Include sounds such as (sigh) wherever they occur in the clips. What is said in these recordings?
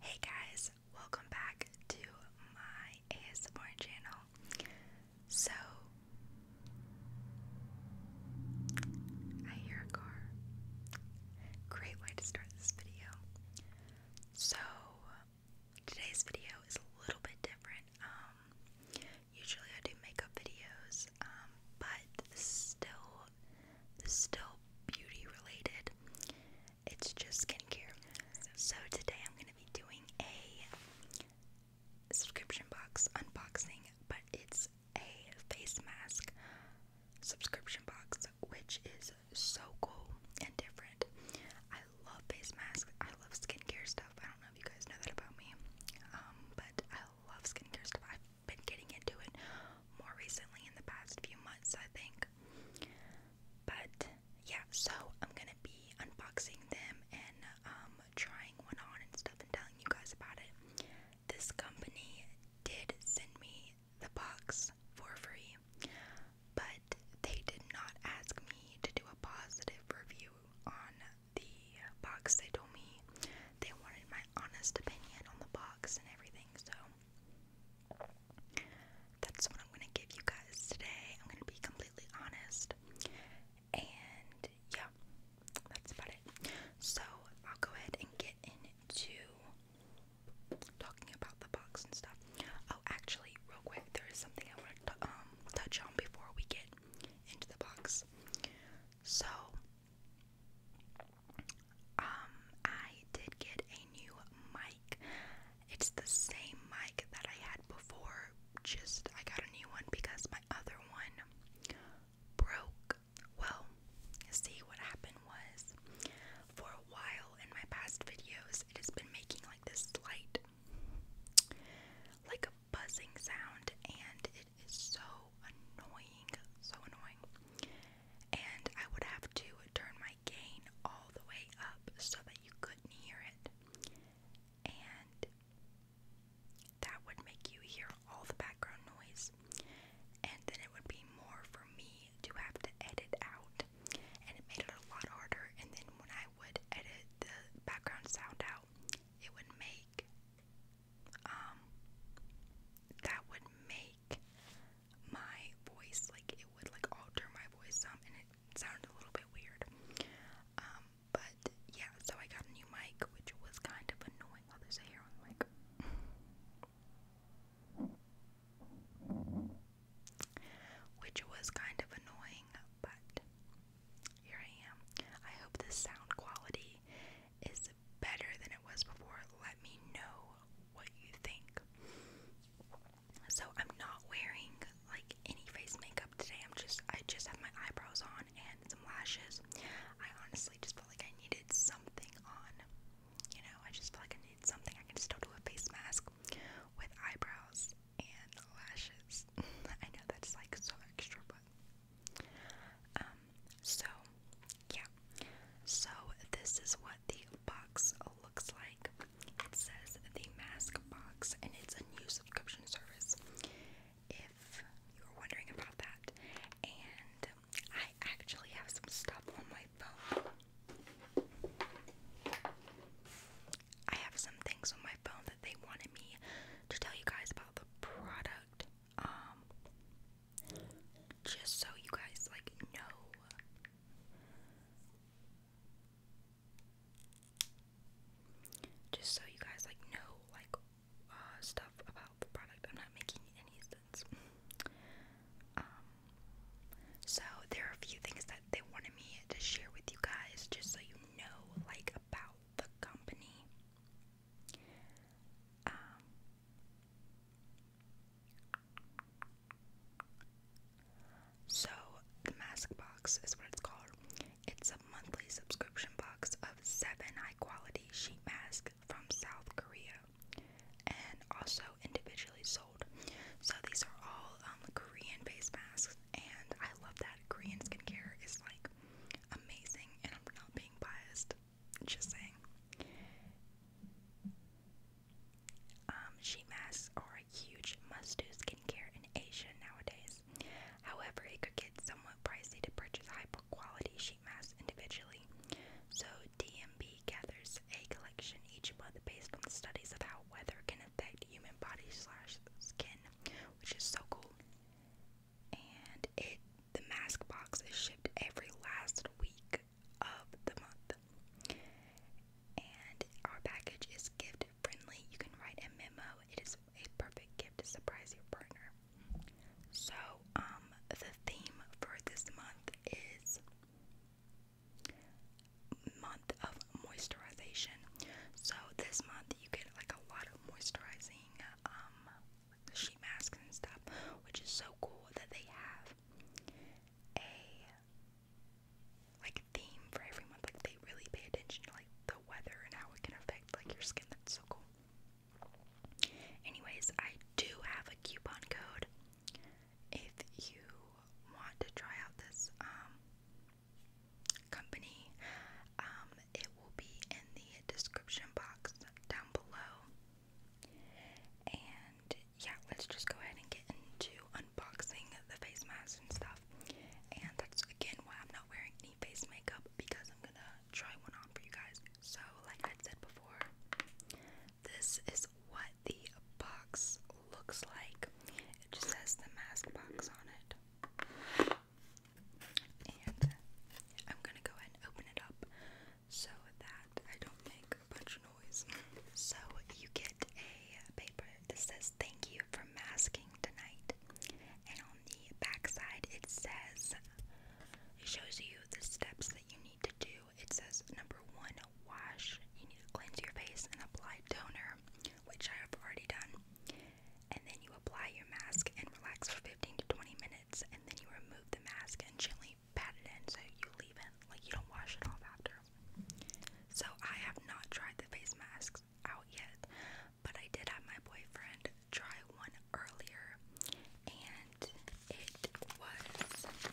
Hey guys, welcome back to my ASMR channel. So, I hear a car. Great way to start this video. So, today's video is a little bit different. Um, usually I do makeup videos, um, but still still beauty related. It's just skincare. So today I'm gonna be doing a subscription box unboxing, but it's a face mask subscription box, which is so cool and different. I love face masks. I love skincare stuff. I don't know if you guys know that about me, um, but I love skincare stuff been getting into it more recently in the past few months, I think. But yeah, so I'm gonna be unboxing them and um, trying one on and stuff and telling you guys about it. This company did send me the box for free, but they did not ask me to do a positive review on the box. They told me they wanted my honest opinion on the box and everything, so that's what I'm gonna give you guys today. I'm gonna be completely honest. And yeah, that's about it. So I'll go ahead and get into talking about the box and stuff. Oh, actually, real quick, there is something I want to um, touch on before we get into the box. So um, I did get a new mic. It's the same mic that I had before, just I got a new one because my other one broke. Well, see what happened was for a while in my past videos, it has been making like this slight like a buzzing sound and it is so annoying, so annoying and I would have to turn my gain all the way up so that you couldn't hear it. And that would make you hear all the background noise. And then it would be more for me to have to edit out. And it made it a lot harder. And then when I would edit the background sound out, it would make um that would make my voice, like it would like alter my voice some, and it sounded a little bit weird. Um, but yeah, so I got a new mic, which was kind of annoying. Oh, there's a on the mic. Which was kind of annoying, but here I am. I hope the sound quality is better than it was before, let me know what you think. So I'm not wearing like any face makeup today. I'm just I just have my eyebrows on and some lashes. I honestly just felt like I needed something on. You know, I just felt like I needed something. I can still do a face mask with eyebrows and lashes. (laughs) I know that's like so extra, but um, so, yeah. So, this is what the box looks like. It says the mask box, and it's a new subscription service. If you're wondering about that, and I actually have some stuff on my phone. I have some things on my phone that they wanted me to tell you guys about the product um just so you guys like know just so you guys like know like uh stuff about the product I'm not making any sense um so there are a few things that they wanted me to share with you guys just so you know like about the company um, so, the Mask Box is what it's called. It's a monthly subscription box of seven high quality sheet masks from South Korea and also individually sold. So, these are all um, Korean face masks, and I love that Korean skincare is like amazing, and I'm not being biased. Just saying. Um, sheet masks are a huge must-do skincare in Asia nowadays. However, it could get somewhat pricey to purchase high-quality sheet masks individually. So DMB gathers a collection each month based on studies of how weather can affect human body slash skin, which is so cool. And it the mask box is shipped every last week of the month. And our package is gift friendly. You can write a memo. It is a perfect gift to surprise your partner. So, um, the theme for this month is month of moisturization. So this month you get like a lot of moisturizing um sheet mask and stuff, which is so cool that they have a like theme for every month. Like they really pay attention to like the weather and how it can affect like your skin. That's so cool. Anyways, I do have a coupon code if you want to try out this um, company. Um, it will be in the description box down below. And yeah, let's just go ahead and get into unboxing the face masks and stuff. And that's again why I'm not wearing any face makeup because I'm gonna try one on for you guys. So, like I said before, this is what the box looks like. It just says the mask box on it. And I'm gonna go ahead and open it up so that I don't make a bunch of noise. So you get a paper that says thank you for masking tonight. And on the back side it says it shows you the steps that you need to do. It says number one, wash. You need to cleanse your face and apply toner, which I have already done. And then you apply your mask and relax for 15 to 20 minutes and then you remove the mask and gently pat it in so you leave it. Like you don't wash it off after. So I have not tried the face masks out yet, but I did have my boyfriend try one earlier and it was this one.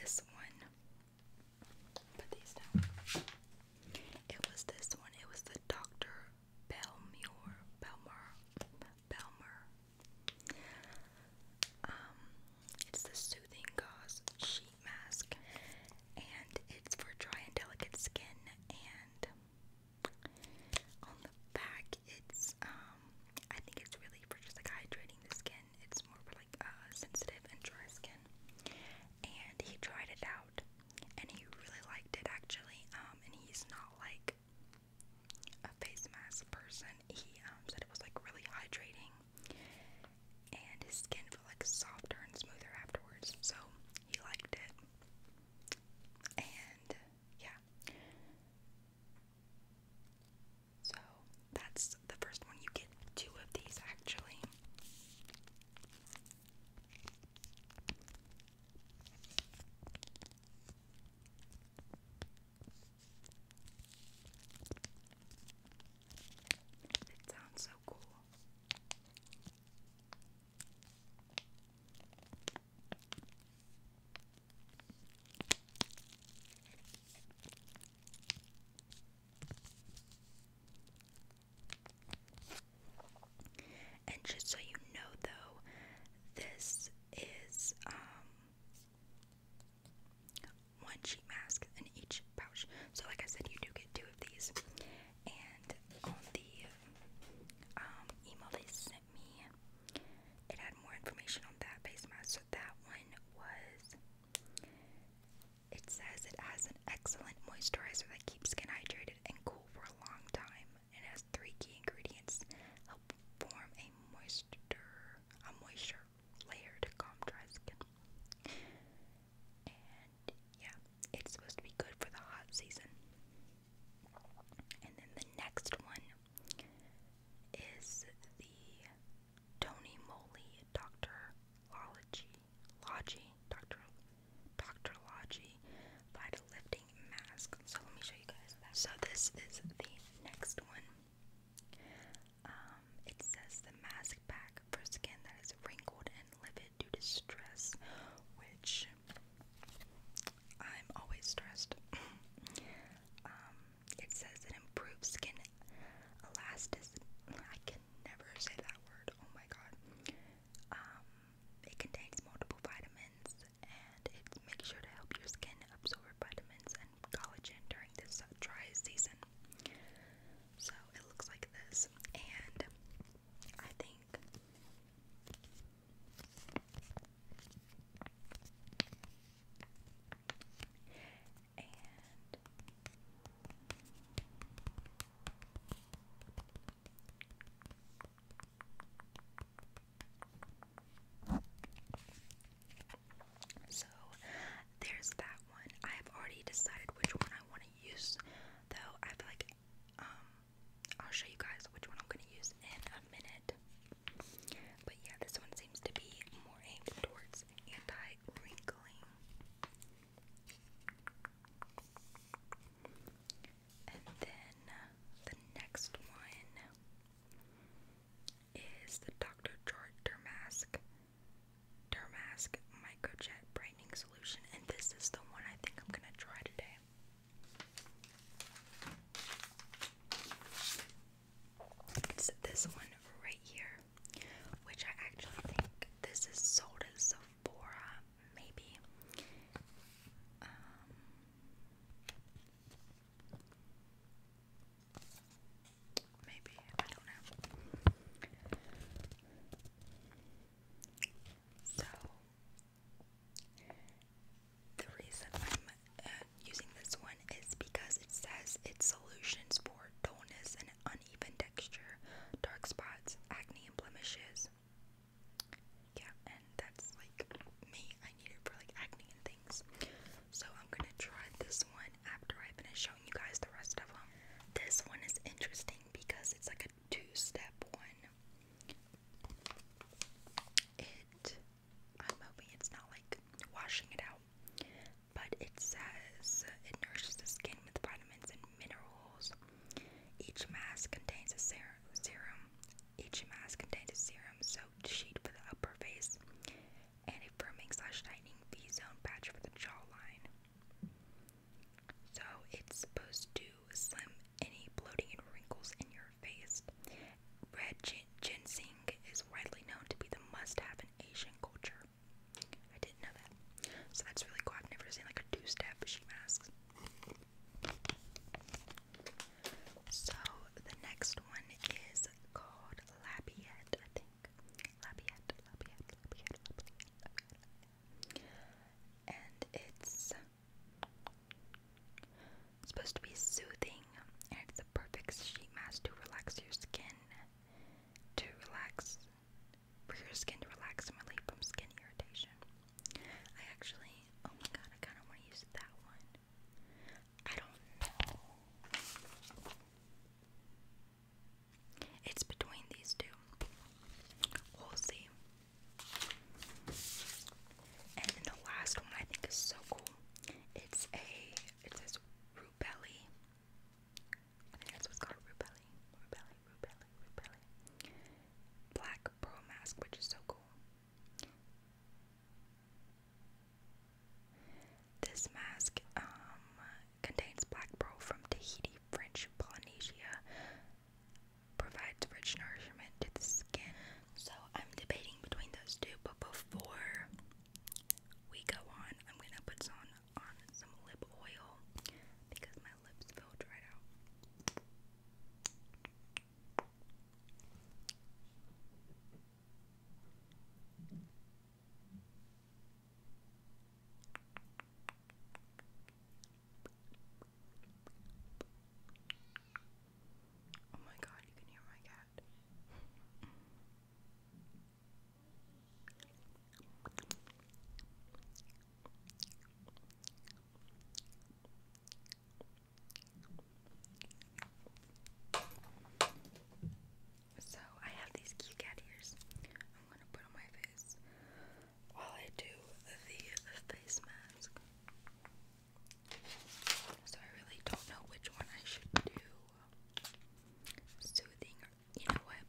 It was this one. It was the Dr. Belmure, Belmer, Belmer. Um, it's the Soothing Gauze Sheet Mask, and it's for dry and delicate skin. And on the back, it's um, I think it's really for just like hydrating the skin. It's more for like uh, sensitive and dry skin. And he tried it out, and he really liked it actually. Um, and he's not like a face mask person. He um, said it was like really hydrating and his skin felt like softer and smoother afterwards, so he liked it. And yeah. So that's the first one. You get two of these actually. It sounds so cool. And just so you know, though, this is um one sheet mask in each pouch. So like I said, you do get two of these. And on the um, email they sent me, it had more information on that face mask. So that one was. It says it has an excellent moisturizer that keeps skin hydrated and cool for a long time and has three key ingredients help form a moisture a moisture layer to calm dry skin. And yeah, it's supposed to be good for the hot season. And then the next one is the Tony Moly Doctor Logi Logi Doctor Doctor Logi Vitalift mask. So let me show you guys So this is the next one. Um, it says the mask pack for skin that is wrinkled and livid due to stress, which I'm always stressed. (laughs) Um, it says it improves skin elasticity. I can never say that word. Oh my god. Um, it contains multiple vitamins, and it makes sure to help your skin absorb vitamins and collagen during this uh, dry season. So it looks like this, and I think so there's that one. I have already decided which one I want to use, though I feel like um, I'll show you guys which one I'm gonna use in a minute. But yeah, this one seems to be more aimed towards anti-wrinkling. And then uh, the next one is the Dr. George Dermask Dermask Microjet Brightening Solution. And this is the one I think I'm gonna try today. It's this one right here, which I actually think this is sold at Sephora. Sephora, maybe. Um, maybe, I don't know. So, the reason I'm uh, using this one is because it says it's solutions for dullness and uneven texture, dark spots, acne, and blemishes yeah, and that's like me. I need it for like acne and things. So I'm gonna try this one after I finish showing you guys the rest of them. This one is interesting because it's like a two-step one. It I'm hoping it's not like washing it out. But it says it nourishes the skin with vitamins and minerals, each mask contains a serum. Each mask contains a serum soaked sheet for the upper face and a firming slash tightening V zone patch for the jawline. So it's supposed to slim any bloating and wrinkles in your face. Red gin ginseng is widely known to be the must have in Asian culture. I didn't know that. So that's really cool. I've never seen like a two step sheet mask. So the next one is called Labiette, I think. Labiette, Labiette, Labiette, Labiette, Labiette. And it's supposed to be soothing, and it's the perfect sheet mask to relax your skin, to relax, for your skin to relax and relieve from skin irritation. I actually, oh my god, I kind of want to use that one. I don't know. It's between these two. We'll see. And then the last one I think is so cool. It's a, it says Rubelli. I think that's what's called Rubelli. Rubelli, Rubelli, Rubelli. Black like mask, which is so cool. This mask um, contains black pearl from Tahiti, French Polynesia, provides rich nourishment to the skin. So I'm debating between those two, but before we go on, I'm gonna put on on some lip oil because my lips feel right out. Oh, my God, you can hear my cat. So I have these cute cat ears. I'm gonna put on my face while I do the face mask. So I really don't know which one I should do. Soothing, or, you know what?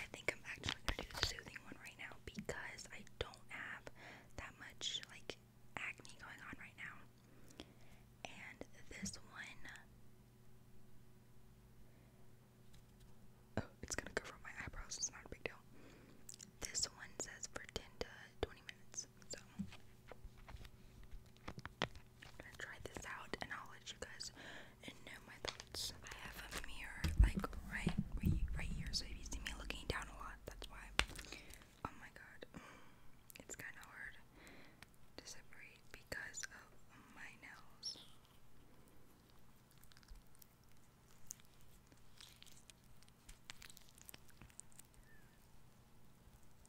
I think I'm actually gonna do the soothing one right now because I don't do have that much like acne going on right now. And this one Oh, it's gonna go from my eyebrows, it's not a big deal. This one says for 10 to 20 minutes, so I'm gonna try this out and I'll let you guys know my thoughts. I have a mirror like right right here, so if you see me looking down a lot, that's why. Oh my god, mm, it's kind of hard to separate because of my nails.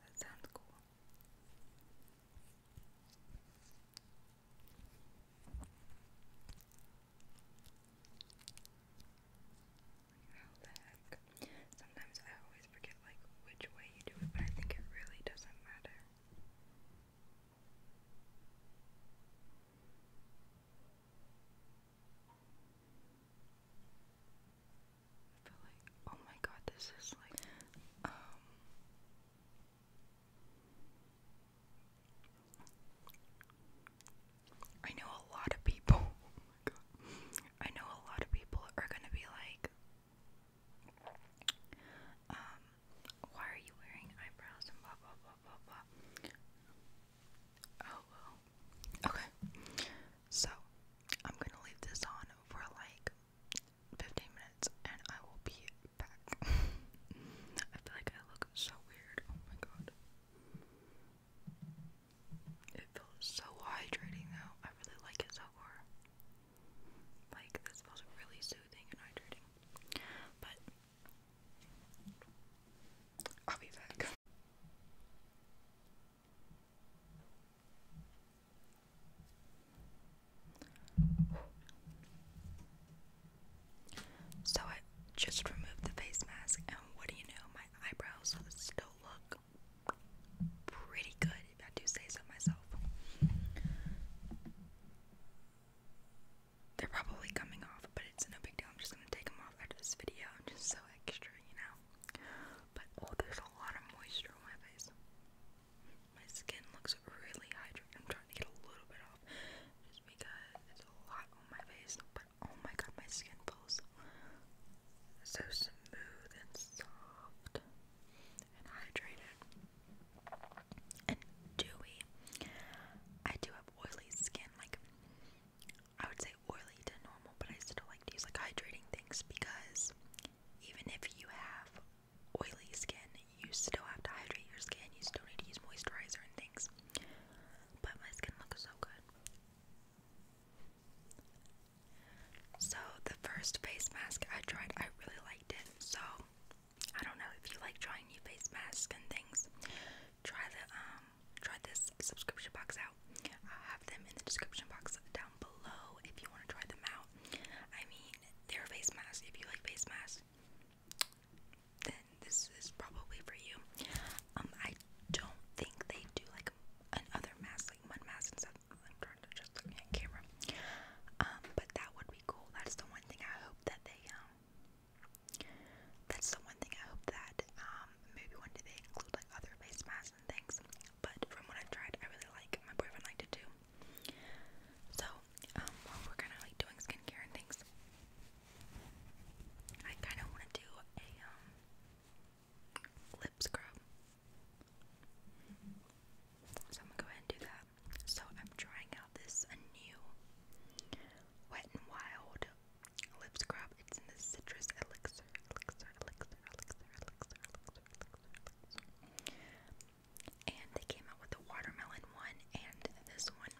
That sounds cool. How Sometimes I always forget like which way you do it, but I think it really doesn't matter. I feel like, oh my god, this is like, um, I know a lot of people. (laughs) Oh my god. I know a lot of people are gonna be like, um, why are you wearing eyebrows and blah blah blah blah blah. Oh well. Okay. So I'm gonna leave this on for like 15 minutes and I will be back. (laughs) I feel like I look so weird. Oh my god. It feels so hydrating though. I really like it so far. Like this feels really soothing and hydrating. But I'll be back. So I just removed the face mask, and what do you know? My eyebrows still look pretty good, if I do say so myself. They're probably coming off, but it's no big deal. I'm just gonna take them off after this video. I'm just so extra, you know. But oh, there's a lot of moisture on my face. My skin looks really hydrated. I'm trying to get a little bit off because it's a lot on my face, but oh my god, my skin feels so smooth and soft and hydrated and dewy. I do have oily skin, like I would say oily to normal, but I still like to use like hydrating things because even if you have oily skin, you still have to hydrate your skin, you still need to use moisturizer and things. But my skin looks so good. So, the first face mask I tried, I really liked it. So, I don't know if you like trying new face masks and things. Try the um, try this subscription box out. I'll have them in the description box down below if you want to try them out. I mean, they're face masks. If you like face masks, then this is probably for you. Um, I don't think they do like another mask, like mud mask and stuff. I'm trying to just look at camera. Um, but that would be cool. That's the one thing I hope that they um. That's the one thing I hope that um maybe one day they include like other face masks and things. But from what I've tried, I really like. My boyfriend liked it too. So um, we're kind of like doing skincare and things, I kind of want to do a um, lip scrub. So I'm gonna go ahead and do that. So I'm trying out this a new Wet and Wild lip scrub. It's in the citrus elixir, elixir, elixir, elixir, elixir, elixir, elixir, elixir. And they came out with the watermelon one and this one.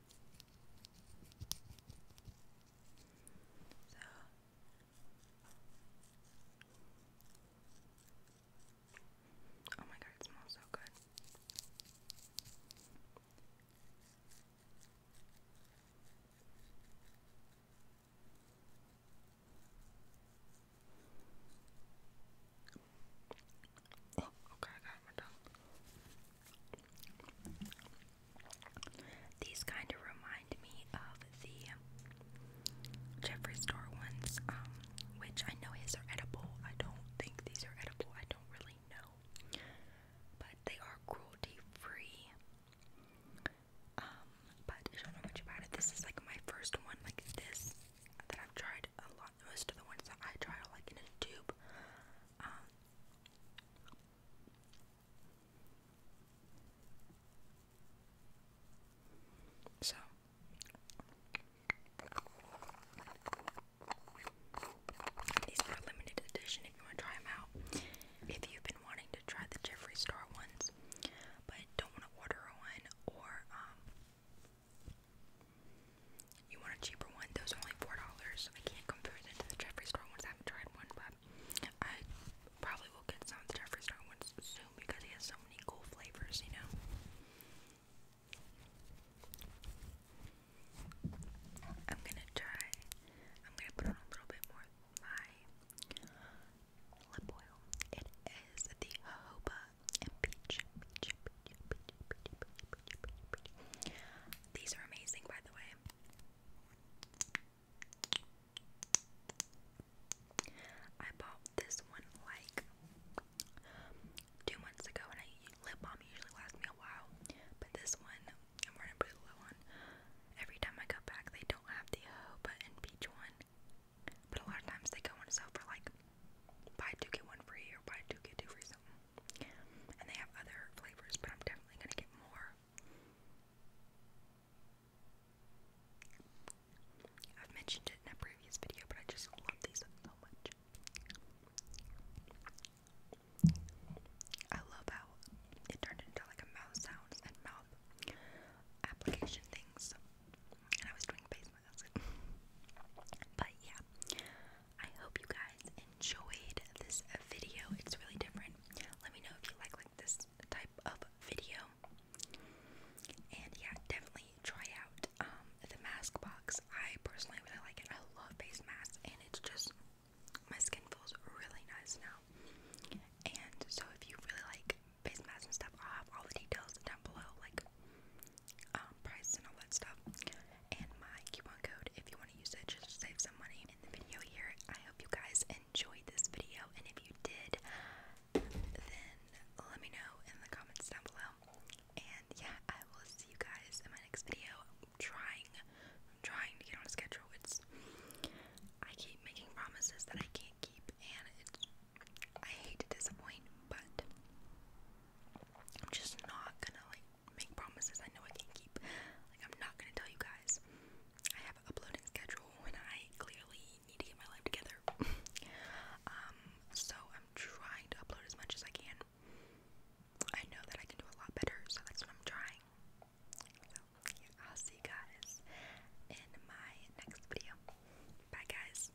So Oh my god, it smells so good. Oh, okay, I got my tongue. These kind of remind me of the Jeffree Star ones, um, which I know his are edible. I don't think these are edible. I don't really know. But they are cruelty free. Um, but I don't know much about it. This is like my first one like this that I've tried a most of the ones that I try are like in a tube. Um, so. These are limited edition if you want to try them out. If you've been wanting to try the Jeffree Star ones, but don't want to order one, or um, you want a cheaper one? Those are only $4. I can't compare them to the Jeffree Star ones. I haven't tried one, but I probably will get some of the Jeffree Star ones soon because he has so many cool flavors, you know? I'm gonna try, I'm gonna put on a little bit more of my lip oil. It is the jojoba and peach, these are amazing, by the way. I bought this one like two months ago, and I lip balm usually lasts me a while, but this one I'm running pretty low on. Every time I go back, they don't have the O button peach one, but a lot of times they go on sale for like buy two get one free or buy two get two free something. And they have other flavors, but I'm definitely going to get more. I've mentioned it in a previous video, but I just love these so much. I love how it turned into like a mouth sounds and mouth application things. And I was doing face masks. (laughs) but yeah, I hope you guys enjoyed this video. It's really different. Let me know if you like like this type of video. And yeah, definitely try out um the mask box. I personally really like it. I love face masks and it's just my skin feels really nice now. And so if you really like face masks and stuff, I'll have all the details down below, like um, price and all that stuff. And my coupon code if you want to use it just save some money in the video here. I hope you guys enjoyed this video, and if you did, then let me know in the comments down below. And yeah, I will see you guys in my next video. I'm trying, I'm trying to get on a schedule. It's I keep making promises that I can't keep, and it's I hate to disappoint, but I'm just not gonna like make promises I know I can not keep. Like, I'm not gonna tell you guys. I have an uploading schedule and I clearly need to get my life together. (laughs) um, so I'm trying to upload as much as I can. I know that I can do a lot better, so that's what I'm trying. So, yeah, I'll see you guys in my next video. Bye, guys.